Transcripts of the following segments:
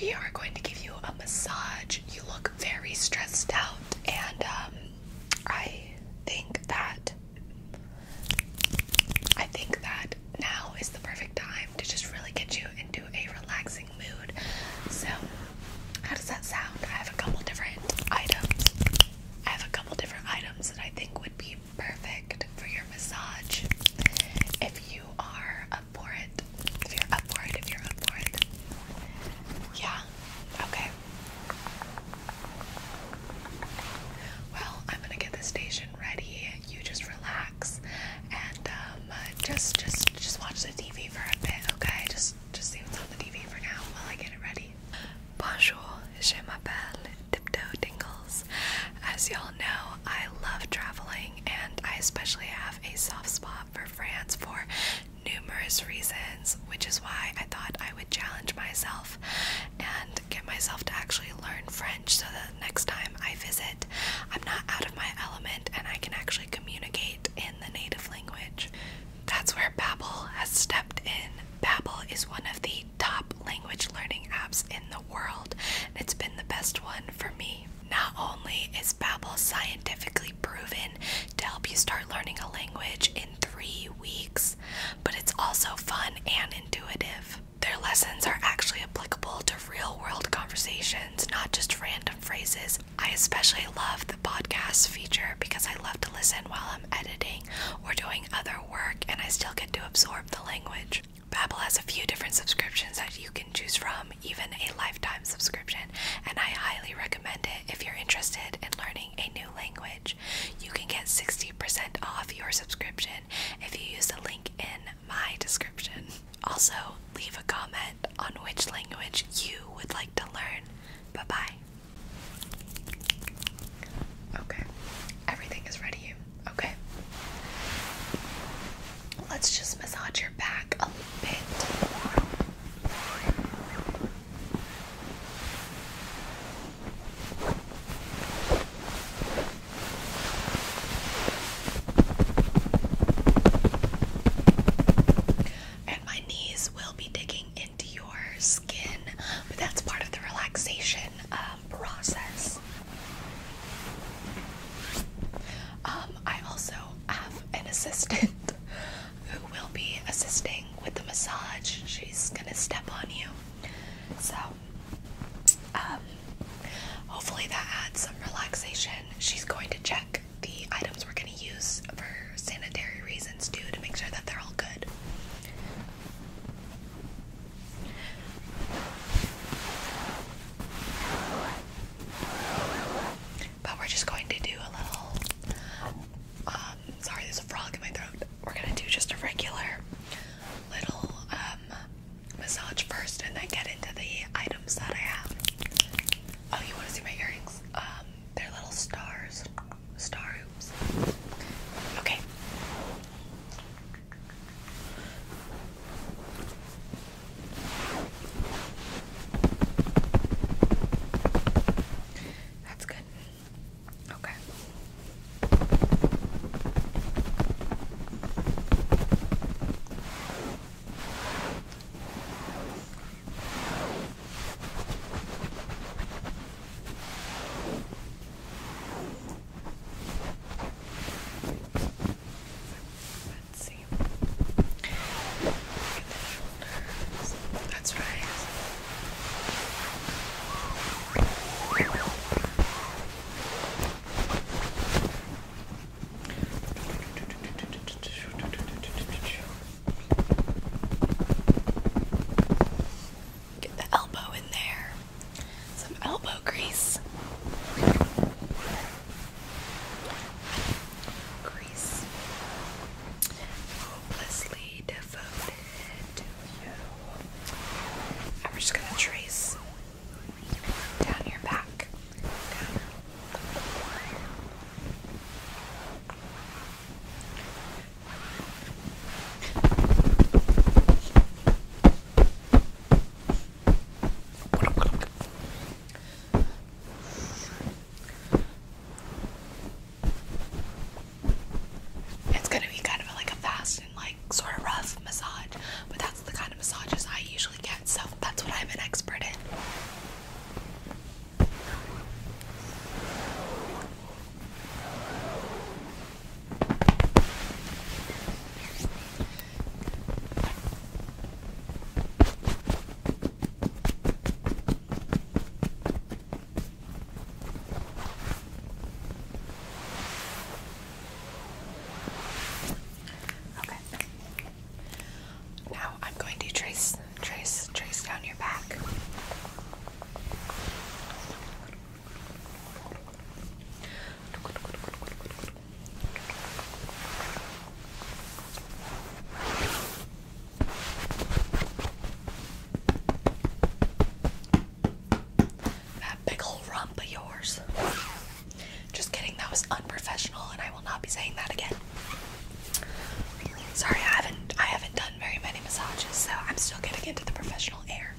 we are going to give you a massage. You look very stressed out, and um, I think that I think that now is the perfect time to just really get you into a relaxing mood. So, how does that sound? I have a couple different items. I have a couple different items that I think would be perfect for your massage. If you are uh, up for it. If you're up for it, if you're up for it. Yeah, okay. Well, I'm gonna get the station ready. You just relax and um, just, just, just watch the TV for a bit, okay? Just, just see what's on the TV for now while I get it ready. Bonjour, je m'appelle Tiptoe Dingles as y'all know, I love traveling and I especially have a soft spot for France for numerous reasons, which is why I thought I would challenge myself and get myself to actually learn French so that next time I visit, I'm not out of my element and I can actually communicate in the native language. That's where Babbel has stepped in. Babbel is one of the top language learning apps in the world. it's been the best one for me. Not only is Babbel scientifically proven to help you start learning a language in three weeks, but it's also fun and intuitive. Their lessons are actually applicable to real world conversations, not just random phrases. I especially love the podcast feature because I love to listen while I'm editing or doing other work and I still get to absorb the language. Babbel has a few different subscriptions that you can choose from, even a lifetime subscription, and I highly recommend it if you're interested in learning a new language. You can get 60% off your subscription if you use the link in my description. Also, leave a comment on which language you would like to learn. Bye bye. Okay, everything is ready. Okay. Let's just massage your back a bit And my knees will be digging into your skin, but that's part of the relaxation process. Um, I also have an assistant who will be assisting with the massage. She's gonna step on you. So, um, hopefully that adds some relaxation. She's going to check the items we're gonna use for sanitary reasons too to make sure that they're all good. But we're just going to do a little. Um, sorry, there's a frog in my throat. We're gonna do just a regular little um, massage first, and then get into the items that I have. Oh, you want to see my earrings? Um, they're little stars, star hoops. Okay. That's good. Okay. Let's see. Look at the shoulders. That's right. Okay. Get the elbow in there. Some elbow grease. Grease. Hopelessly devoted to you. And we just gonna trace down your back. It's gonna be kind of like a fast and like sort of rough massage, but that's the kind of massages I usually get, so that's what I'm an expert in. Okay. Now I'm going to trace, trace, trace down your back. That big ol' rump of yours. Just kidding, that was unprofessional and I will not be saying that again. Sorry, I haven't I haven't done very many massages, so I'm still getting into the professional air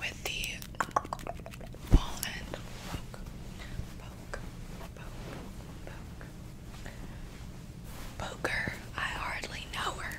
with the ball and Poker, I hardly know her.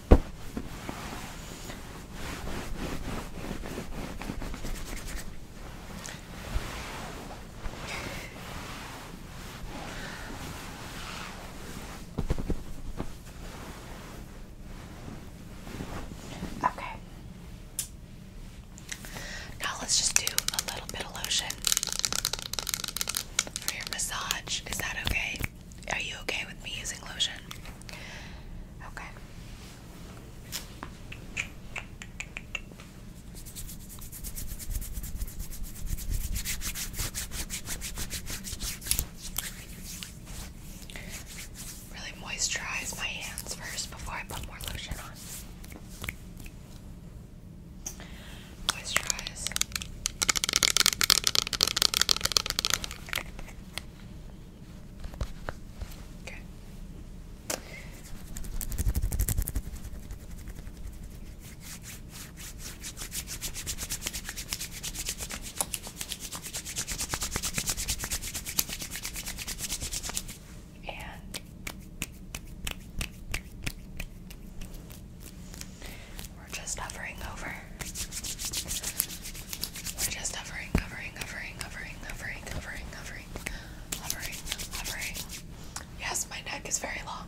Okay. Now let's just do a little bit of lotion for your massage. Is that okay? Are you okay with me using lotion? Okay. Really moisturize my hands first before I put more lotion on moisturize. Okay. And we're just hovering hovering, hovering, hovering, hovering, hovering, hovering, hovering, hovering. Yes, my neck is very long.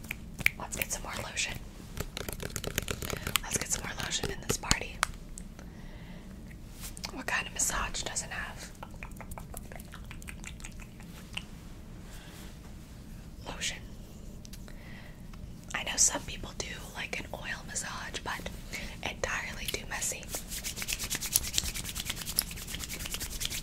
Let's get some more lotion. Let's get some more lotion in this party. What kind of massage doesn't have? Lotion. I know some people do like an oil massage, but entirely too messy.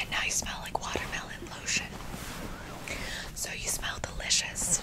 And now you smell like watermelon lotion. So you smell delicious.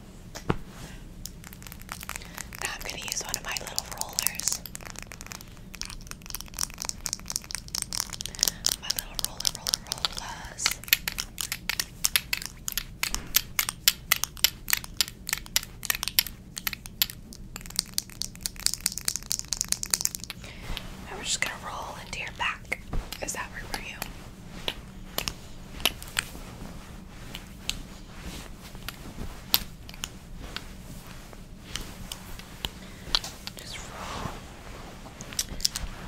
Now I'm going to use one of my little rollers. My little roller, roller, rollers. And we're just going to roll into your back. Is that work for you? Just roll,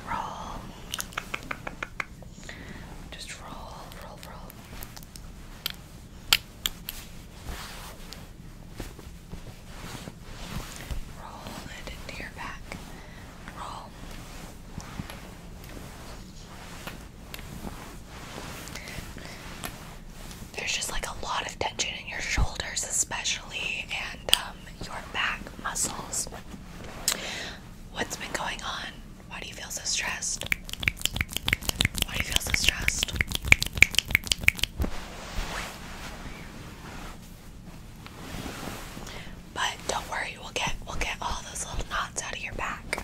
roll, just roll, roll, roll. Roll it into your back. Roll. There's just like a lot of tension in your shoulders, especially, and um, your back muscles. What's been going on? Why do you feel so stressed? Why do you feel so stressed? But don't worry, we'll get we'll get all those little knots out of your back.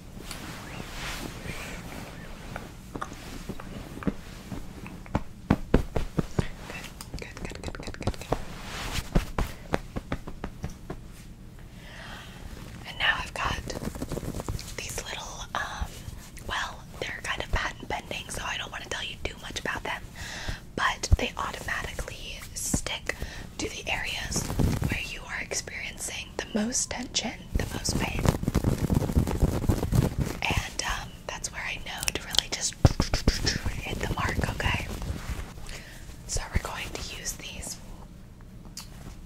Good, good, good, good, good, good. And now I've got these little, um, well, they're kind of patent pending, so I don't want to tell you too much about them, but they automatically stick to the areas where you are experiencing the most tension the most pain. And um, that's where I know to really just hit the mark, okay? So we're going to use these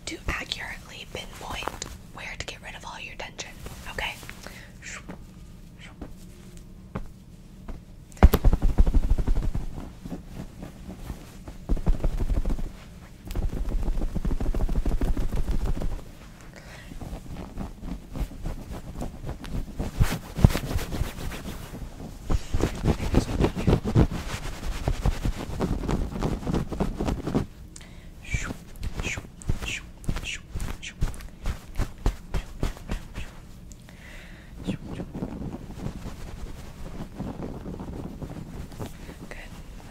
to accurately pinpoint where to get rid of all your tension, okay? Good.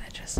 I just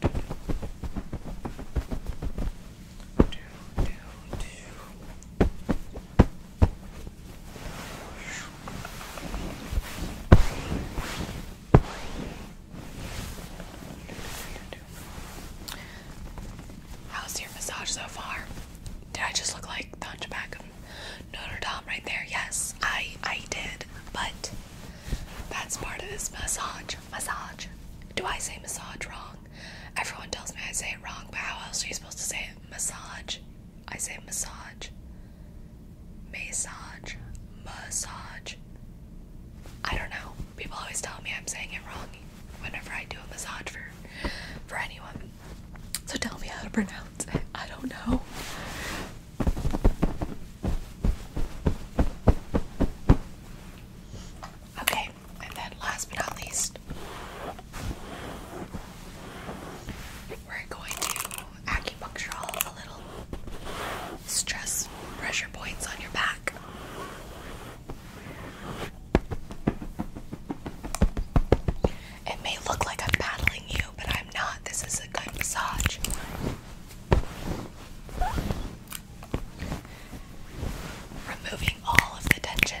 do, do, How's your massage so far? Did I just look like the hunchback of Notre Dame right there? Yes, I I did, but that's part of this massage. Massage. Do I say massage wrong? Everyone tells me I say it wrong, but how else are you supposed to say it? Massage. I say massage. Massage. Massage. I don't know. People always tell me I'm saying it wrong whenever I do a massage for for anyone. So tell me how to pronounce it. I don't know. Okay, and then last but not least, we're going to acupuncture all the little stress pressure points on your back. It may look like I'm battling you, but I'm not. This is a good massage. Removing all of the tension.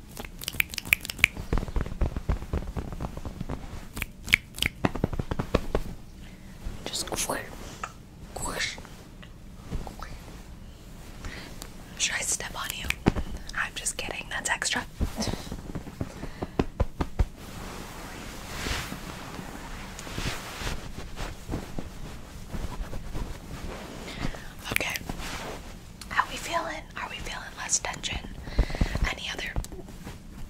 Just squirt, squish. Should I step on you? I'm just kidding. That's extra. Okay. How we feeling? Are we feeling less tension? Any other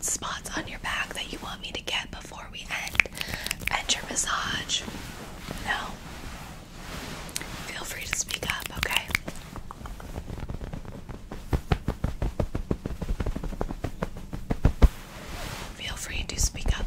spots on your back that you want me to get before we end? End your massage? No? Feel free to speak up, okay? Feel free to speak up.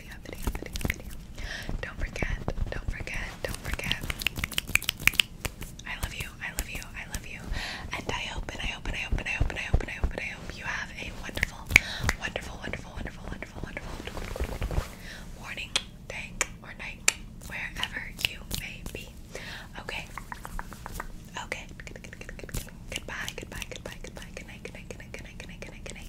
video, video, video, video. Don't forget, don't forget, don't forget. I love you, I love you, I love you. And I hope and I hope and I hope and I hope and I hope and I hope and I hope you have a wonderful, wonderful, wonderful, wonderful, wonderful, wonderful morning, day, or night, wherever you may be. Okay. Okay. Goodbye, goodbye, goodbye, goodbye, good night, good night, good night, good night, good night, good night.